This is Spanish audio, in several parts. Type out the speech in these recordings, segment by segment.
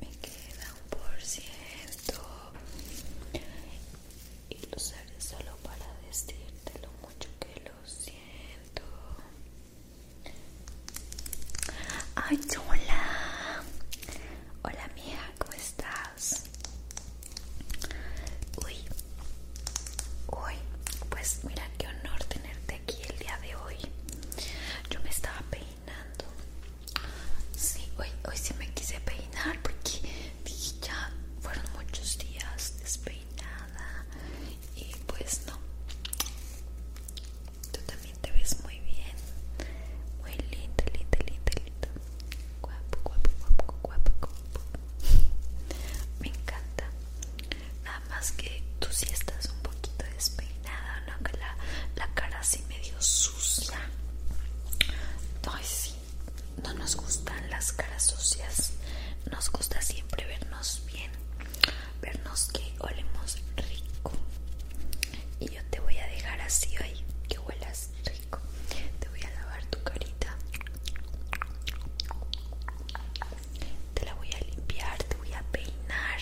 me queda un por ciento y lo usaré solo para decirte lo mucho que lo siento ay hola hola mía, cómo estás uy uy pues mira qué honor tenerte aquí el día de hoy yo me estaba peinando sí hoy hoy sí me quise peinar porque ya fueron muchos días despeinada y pues no tú también te ves muy bien muy linda linda linda linda guapo guapo guapo guapo guapo me encanta Nada más que tú sí estás un poquito despeinada, ¿no? la, cara así medio sucia. Ay, sí. No nos gustan las caras sucias. Nos gusta siempre vernos bien. Vernos que olemos rico. Y yo te voy a dejar así hoy. Que huelas rico. Te voy a lavar tu carita. Te la voy a limpiar, te voy a peinar,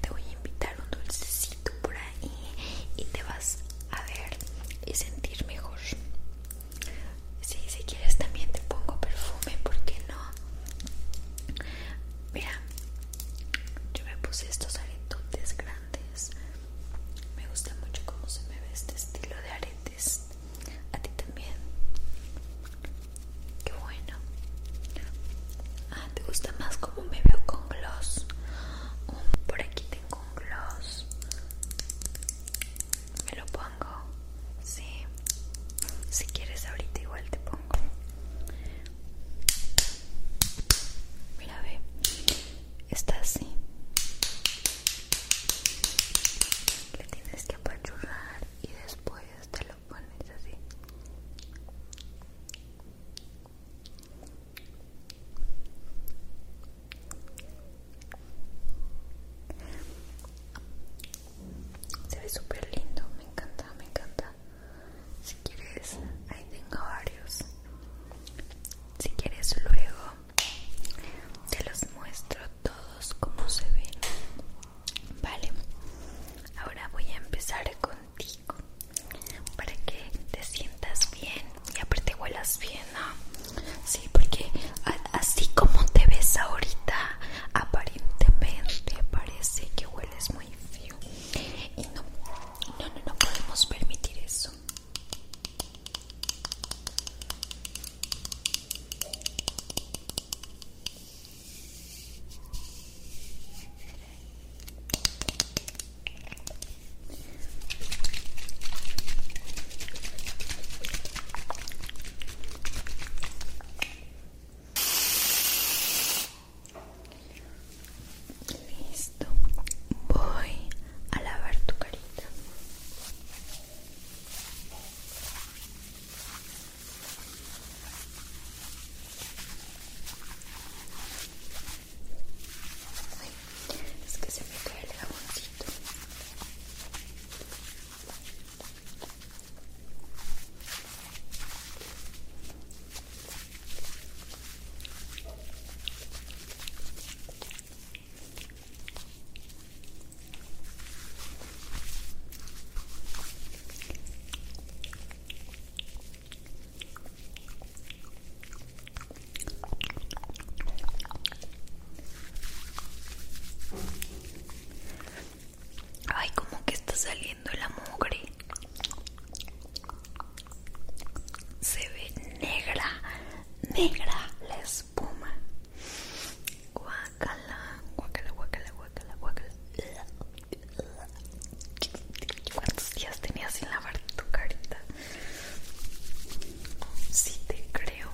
te voy a invitar un dulcecito por ahí y te vas a ver y sentir mejor. si quieres también te pongo perfume, ¿por qué no? Mira, yo me puse estos aretotes grandes. Me gusta mucho cómo se me ve este estilo de arete a ti también. Qué bueno. Ah, ¿te gusta más como me veo con gloss? Mm, por aquí tengo un gloss. Me lo pongo. Sí. Si quieres ahorita igual te pongo. Mira, ve. Está así. Le tienes que apachurrar y después te lo pones así se ve súper lindo, me encanta, me encanta. Si quieres, ahí tengo varios. Si quieres luego te los muestro todos como se ven vale ahora voy a empezar contigo para que te sientas bien y aparte huelas bien ¿no? sí porque así como te ves ahorita aparentemente parece que hueles muy feo y no no no, no podemos permitir eso Listo, voy a lavar tu carita. Es que se me cae el jaboncito. Ay, como que está saliendo la mugre. Se ve negra, negra la espuma guacala, guacala, guacala, guacala, ¿Cuántos días tenías sin lavar tu carita? Sí, te creo.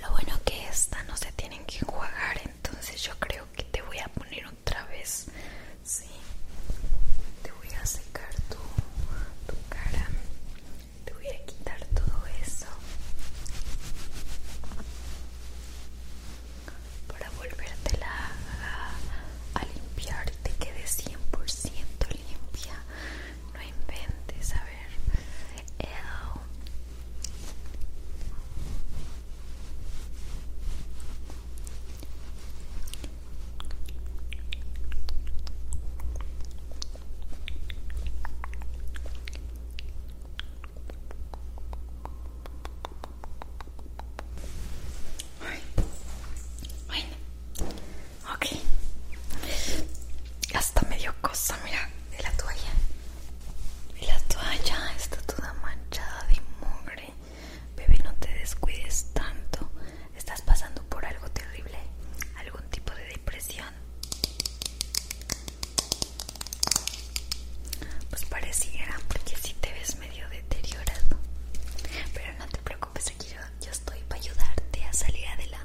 Lo bueno que esta no se tienen que enjuagar, en entonces yo creo que te voy a poner otra vez, sí, te voy a secar tu, cara, te voy a quitar todo eso para volverte a, a limpiar te quede 100% limpia, no inventes, a ver. Eh, Ay. Bueno, ok. Hasta medio cosa, mira, de la toalla. Y la toalla está toda manchada de mugre. Bebé, no te descuides tanto. Estás pasando por algo terrible. Algún tipo de depresión. Pues pareciera, porque si te ves medio deteriorado. Pero no te preocupes, aquí yo, yo estoy para ayudarte a salir adelante.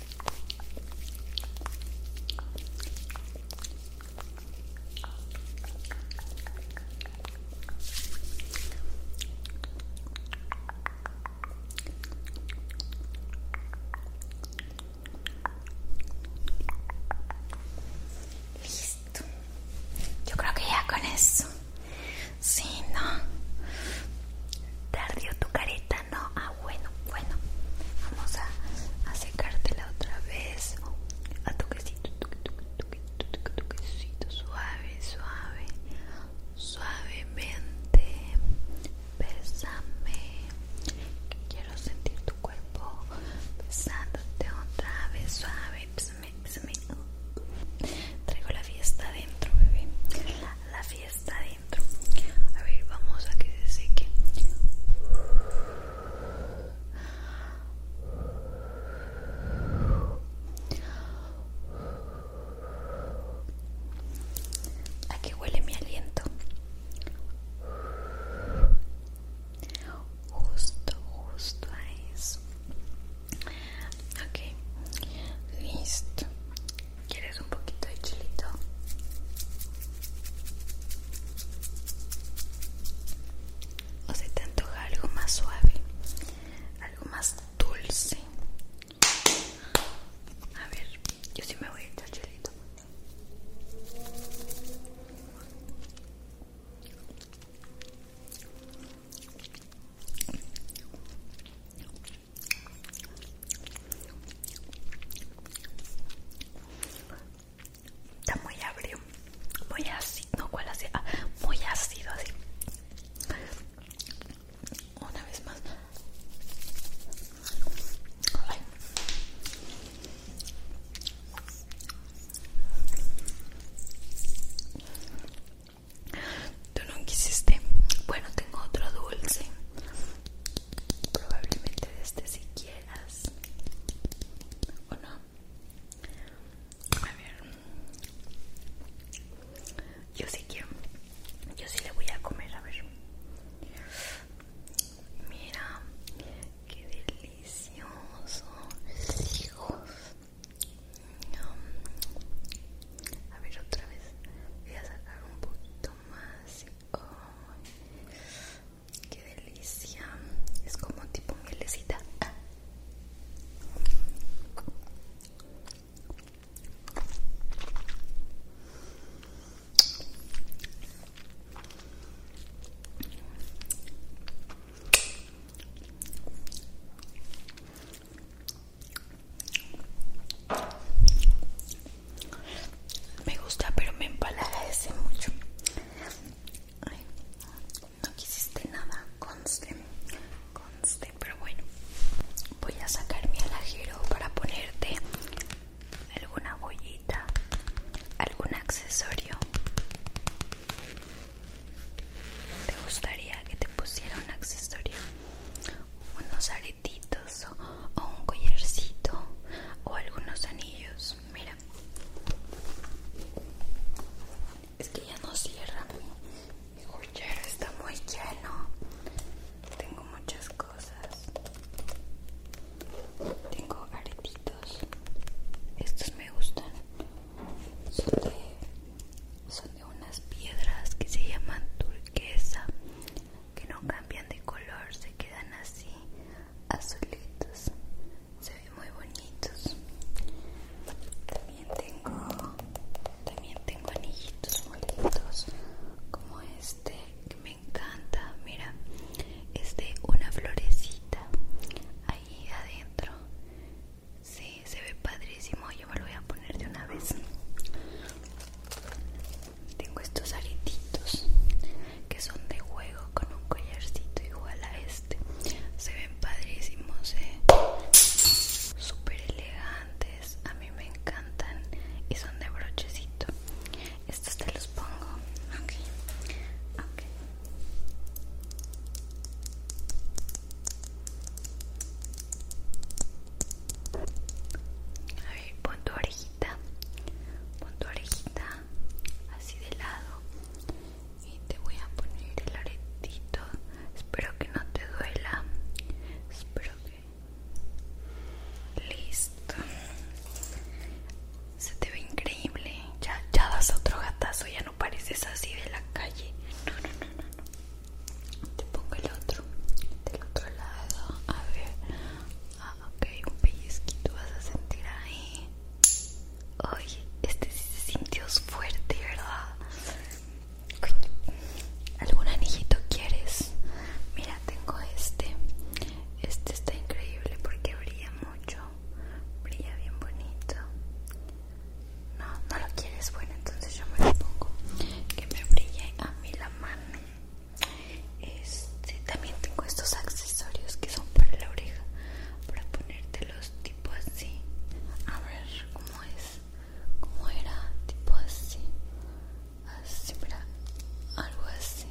Listo. Yo creo que ya con eso. Sí, no. tardió tu careta no ah bueno bueno vamos a, secártela otra vez a toquecito toquecito suave suave suavemente bésame quiero sentir tu cuerpo besándote otra vez suave bésame bésame Traigo la fiesta adentro, bebé. La fiesta a ver, vamos a que se seque. Aquí huele mi aliento. Justo, justo a eso. Ok, listo. ¿Quieres un poquito de chilito? ¿O si te antoja algo más suave? Algo más dulce. A ver, yo sí me voy a echar chilito. Está muy ácido, muy ácido, no cuál ah, muy ácido así. Una vez más. Tú no quisiste. Bueno, tengo otro dulce probablemente este si quieras o no a ver yo sí quiero yo sí le voy a comer a ver mira qué delicioso a ver otra vez voy a sacar un poquito más qué delicia es como tipo mielecita me gusta, pero me empalaga ese mucho. no quisiste nada, conste, conste, pero bueno. Voy a sacar mi alajero para ponerte alguna bollita, algún accesorio. ¿Te gustaría que te pusiera un accesorio? Unos aretitos o, un collarcito o algunos anillos. Mira, es que ya no cierra mi, collar, está muy lleno. Tengo muchas cosas. Tengo aretitos. Estos me gustan. Son de, son de unas piedras que se llaman turquesa que no cambian de color, se quedan así azulitos, se ven muy bonitos. También tengo, también tengo anillitos muy como este que me encanta. Mira, este de una florecita ahí adentro. Sí, se ve padrísimo. Yo me lo voy a poner de una vez. Tengo estos aretitos que son de juego con un collarcito igual a este. Se ven padrísimos, eh. Súper elegantes. A mí me encantan y son de brochecito. Estos te los pongo. Ok. Ok. A ver, pon tu pon tu orejita así de lado y te voy a poner el aretito espero que no te duela espero que listo se te ve increíble ya ya das otro gatazo ya no pareces así de la calle no no no, no te pongo el otro del otro lado a ver ah, ok un pellizquito vas a sentir ahí oye este sí se sintió fuerte verdad algún anejito quieres mira tengo este este está increíble porque brilla mucho brilla bien bonito no, no lo quieres, bueno entonces yo me lo pongo Que me brille a mí la mano este, también tengo estos accesorios que son para la oreja, para ponértelos tipo así. A ver cómo es, cómo era, tipo así. Así, para algo así.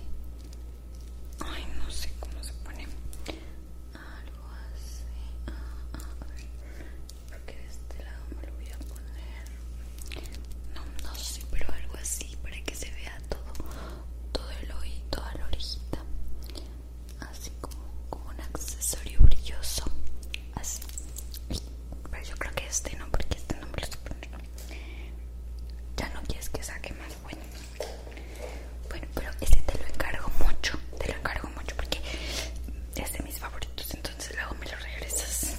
Ay, no sé cómo se pone. Algo así. Ah, ah, a ver, porque de este lado me lo voy a poner no, no sé, pero algo así para que se vea todo, todo el oído, toda la orejita, así como, un accesorio brilloso, así. Pero yo creo que este no, porque este no me lo estoy Ya no quieres que saque más, bueno. Bueno, pero este te lo encargo mucho, te lo encargo mucho porque es de mis favoritos entonces luego me lo regresas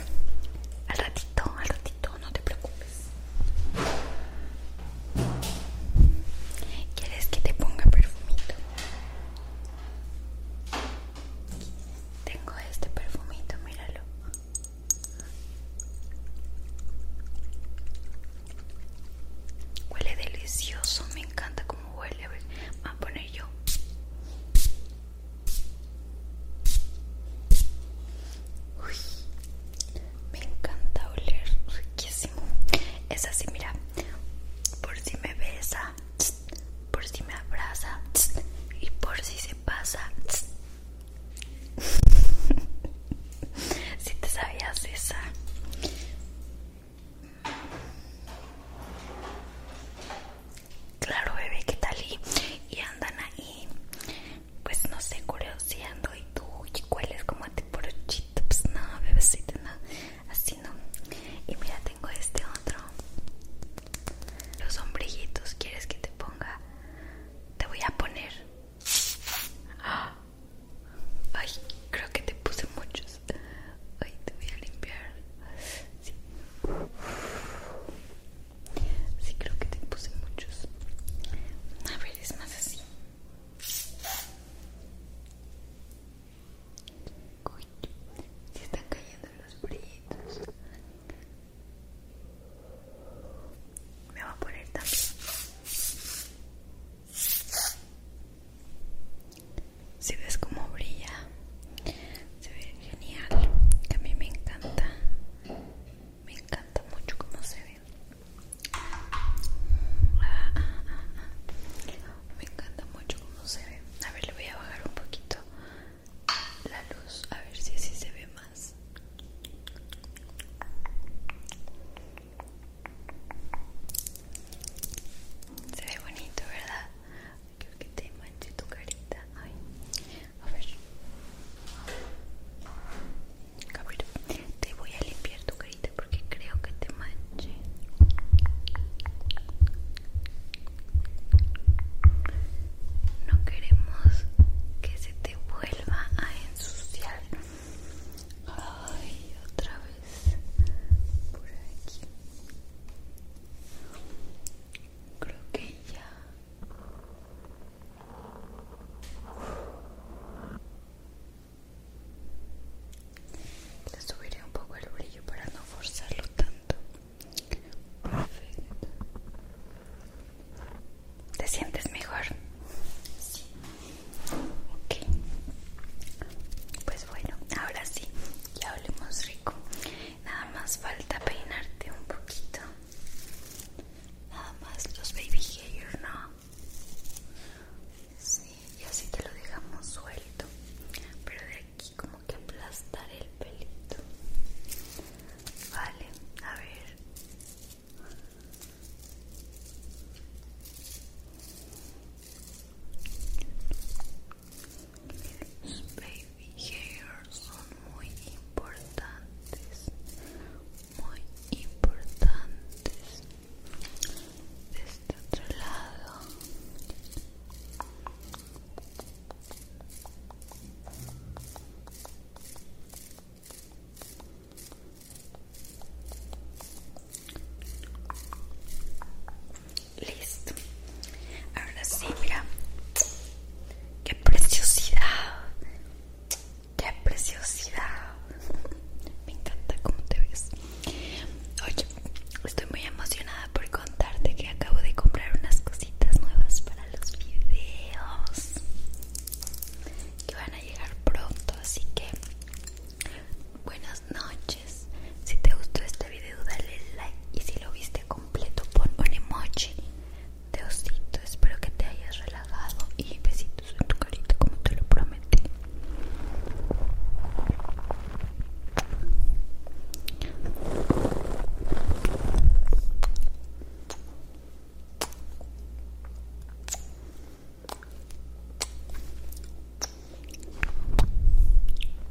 al ratito, al ratito, no te preocupes. ¿Quieres que te ponga perfumito? Tengo este perfumito, míralo. Huele delicioso, me encanta como huele. A ver, voy a poner yo me encanta oler riquísimo. Es así, mira, por si me besa, por si me abraza y por si se pasa. Si te sabías esa claro bebé, ¿qué tal? Y, andan ahí, pues no sé, curioseando y tú y cueles como a ti por pues no, bebecita así no. Y mira, tengo este otro. Los sombrillitos, ¿quieres que te ponga? Te voy a poner. Ay, creo que te puse muchos. Ay, te voy a limpiar. Sí. Sí, creo que te puse muchos. A ver, es más así. se están cayendo los brillitos. Me voy a poner también. Si ves cómo brilla, se ve genial a mí me encanta me encanta mucho cómo se ve ah, ah, ah, me encanta mucho cómo se ve a ver le voy a bajar un poquito la luz a ver si así se ve más se ve bonito verdad creo que te manche tu carita. Ay. A ver. te voy a limpiar tu carita porque creo que te manche. No queremos que se te vuelva a ensuciar. Ay, otra vez. Por aquí creo que ya le subiré un poco el brillo para no forzarlo tanto perfecto ¿te sientes mejor? sí ok pues bueno ahora sí ya hablemos rico nada más falta peinarte un poquito nada más los baby hair no sí, y así te lo dejamos suelto pero de aquí como que aplastar el pelito vale a ver los baby hairs son muy importantes, muy importantes. De este otro lado. Listo. Ahora sí, mira. ¡Qué preciosidad! ¡Qué preciosidad! Me encanta cómo te ves. Oye, estoy muy emocionada por contarte que acabo de comprar unas cositas nuevas para los videos. Que van a llegar pronto, así que buenas noches. Si te gustó este video dale like y si lo viste completo pon un emoji de osito. Espero que te hayas relajado y besitos en tu carita como te lo prometí.